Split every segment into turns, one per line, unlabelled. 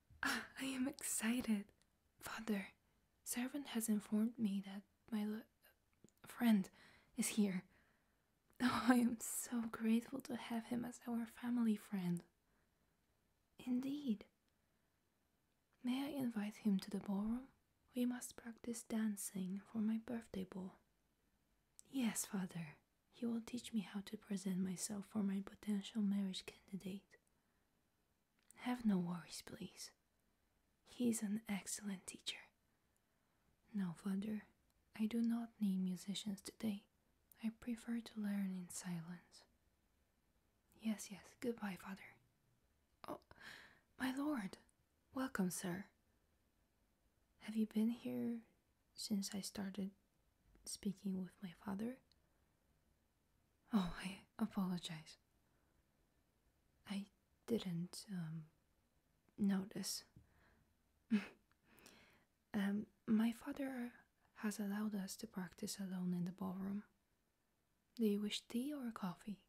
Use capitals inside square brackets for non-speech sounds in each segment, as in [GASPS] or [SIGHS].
[SIGHS] I am excited. Father, servant has informed me that my friend is here. [LAUGHS] Oh, I am so grateful to have him as our family friend. Indeed. May I invite him to the ballroom? We must practice dancing for my birthday ball. Yes, father. He will teach me how to present myself for my potential marriage candidate. Have no worries, please. He is an excellent teacher. No, father, I do not need musicians today. I prefer to learn in silence. Yes, yes, goodbye, father. Oh, my lord! Welcome, sir. Have you been here since I started speaking with my father. Oh, I apologize. I didn't um, notice. [LAUGHS] Um, my father has allowed us to practice alone in the ballroom. Do you wish tea or coffee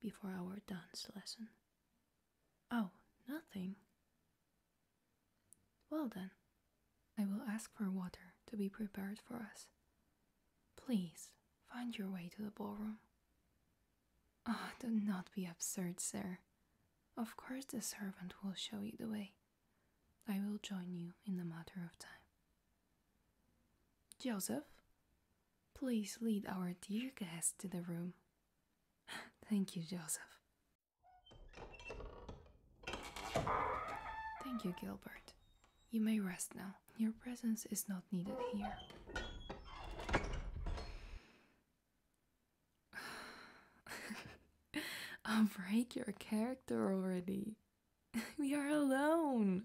before our dance lesson? Oh, nothing. Well then, I will ask for water to be prepared for us. Please, find your way to the ballroom. Ah, do not be absurd, sir. Of course the servant will show you the way. I will join you in a matter of time. Joseph, please lead our dear guest to the room. [LAUGHS] Thank you, Joseph. Thank you, Gilbert. You may rest now. Your presence is not needed here. [SIGHS] I'll break your character already. [LAUGHS] we are alone.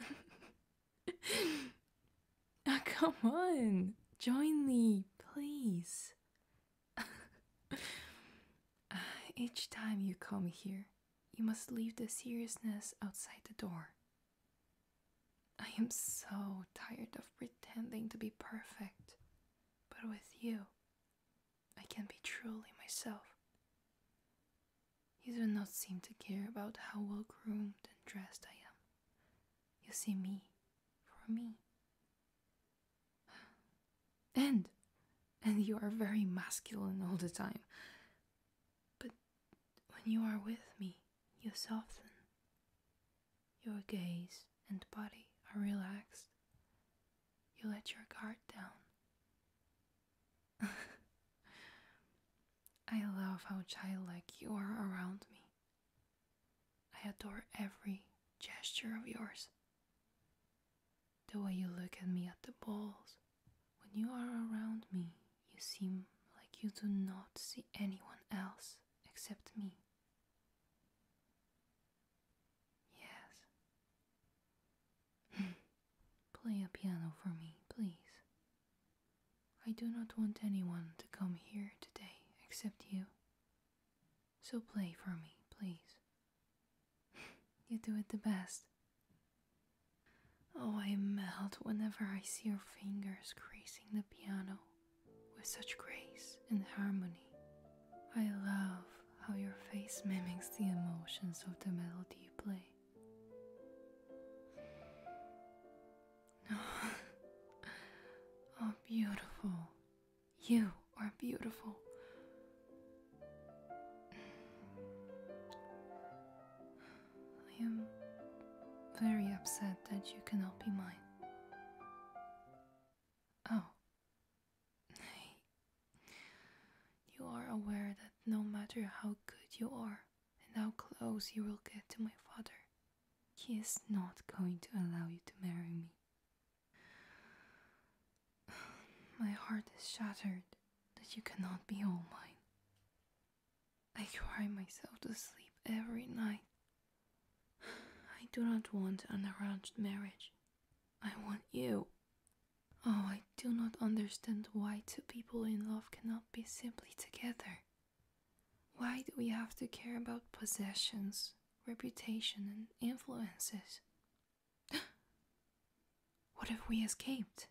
[LAUGHS] [LAUGHS] Ah, come on, join me, please. [LAUGHS] Each time you come here, you must leave the seriousness outside the door. I am so tired of pretending to be perfect, but with you, I can be truly myself. You do not seem to care about how well groomed and dressed I am. You see me for me. And, and you are very masculine all the time. But when you are with me, you soften. Your gaze and body are relaxed. You let your guard down. [LAUGHS] I love how childlike you are around me. I adore every gesture of yours. The way you look at me at the balls. When you are around me, you seem like you do not see anyone else except me. Yes. [LAUGHS] Play a piano for me, please. I do not want anyone to come here today except you. So play for me, please. [LAUGHS] you do it the best. Oh, I melt whenever I see your fingers gracing the piano with such grace and harmony. I love how your face mimics the emotions of the melody you play oh, beautiful. You are beautiful. I am very upset that you cannot be mine. Oh, you are aware that no matter how good you are and how close you will get to my father, he is not going to allow you to marry me. [SIGHS] My heart is shattered that you cannot be all mine. I cry myself to sleep every night. [SIGHS] I do not want an arranged marriage. I want you. Oh, I do not understand why two people in love cannot be simply together. Why do we have to care about possessions, reputation, and influences? [GASPS] what if we escaped?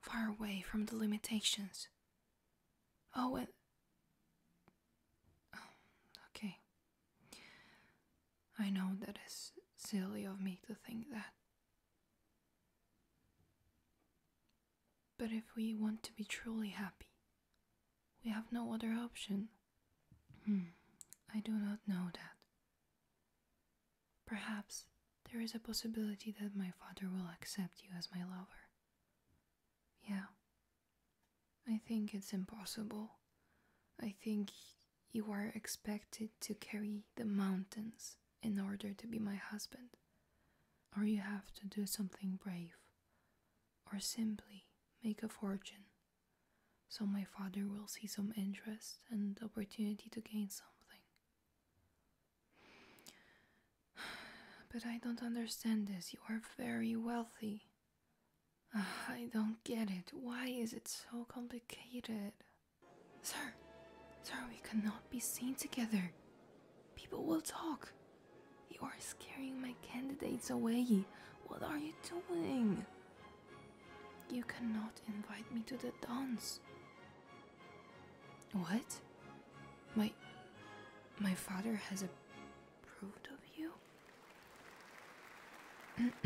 Far away from the limitations. Oh, and. [SIGHS] okay, I know that is silly of me to think that. But if we want to be truly happy, we have no other option. Hmm, I do not know that. Perhaps there is a possibility that my father will accept you as my lover. Yeah, I think it's impossible. I think you are expected to carry the mountains in order to be my husband. Or you have to do something brave. Or simply make a fortune. So my father will see some interest and opportunity to gain something. [SIGHS] But I don't understand this. You are very wealthy. [SIGHS] I don't get it. Why is it so complicated? Sir, sir, we cannot be seen together. People will talk. You are scaring my candidates away. What are you doing? You cannot invite me to the dance. What? My my father has a approved of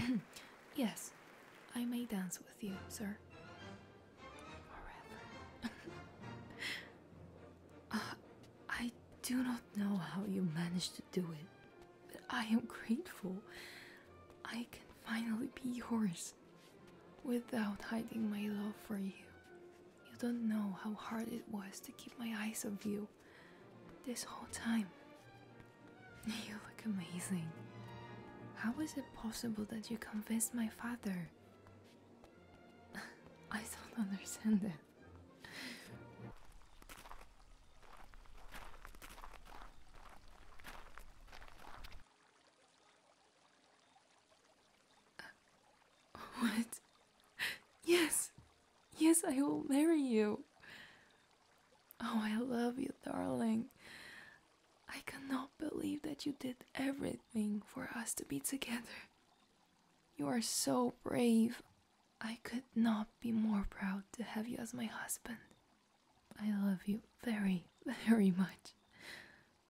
you? [CLEARS THROAT] yes, I may dance with you, sir. Forever. [LAUGHS] Uh, I do not know how you managed to do it, but I am grateful. I can finally be yours without hiding my love for you. You don't know how hard it was to keep my eyes off you this whole time. [LAUGHS] You look amazing. How is it possible that you convinced my father? [LAUGHS] I don't understand it. [LAUGHS] what? Yes! Yes, I will marry you! Oh, I love you, darling. I cannot believe that you did everything for us to be together. You are so brave. I could not be more proud to have you as my husband. I love you very, [LAUGHS] very much.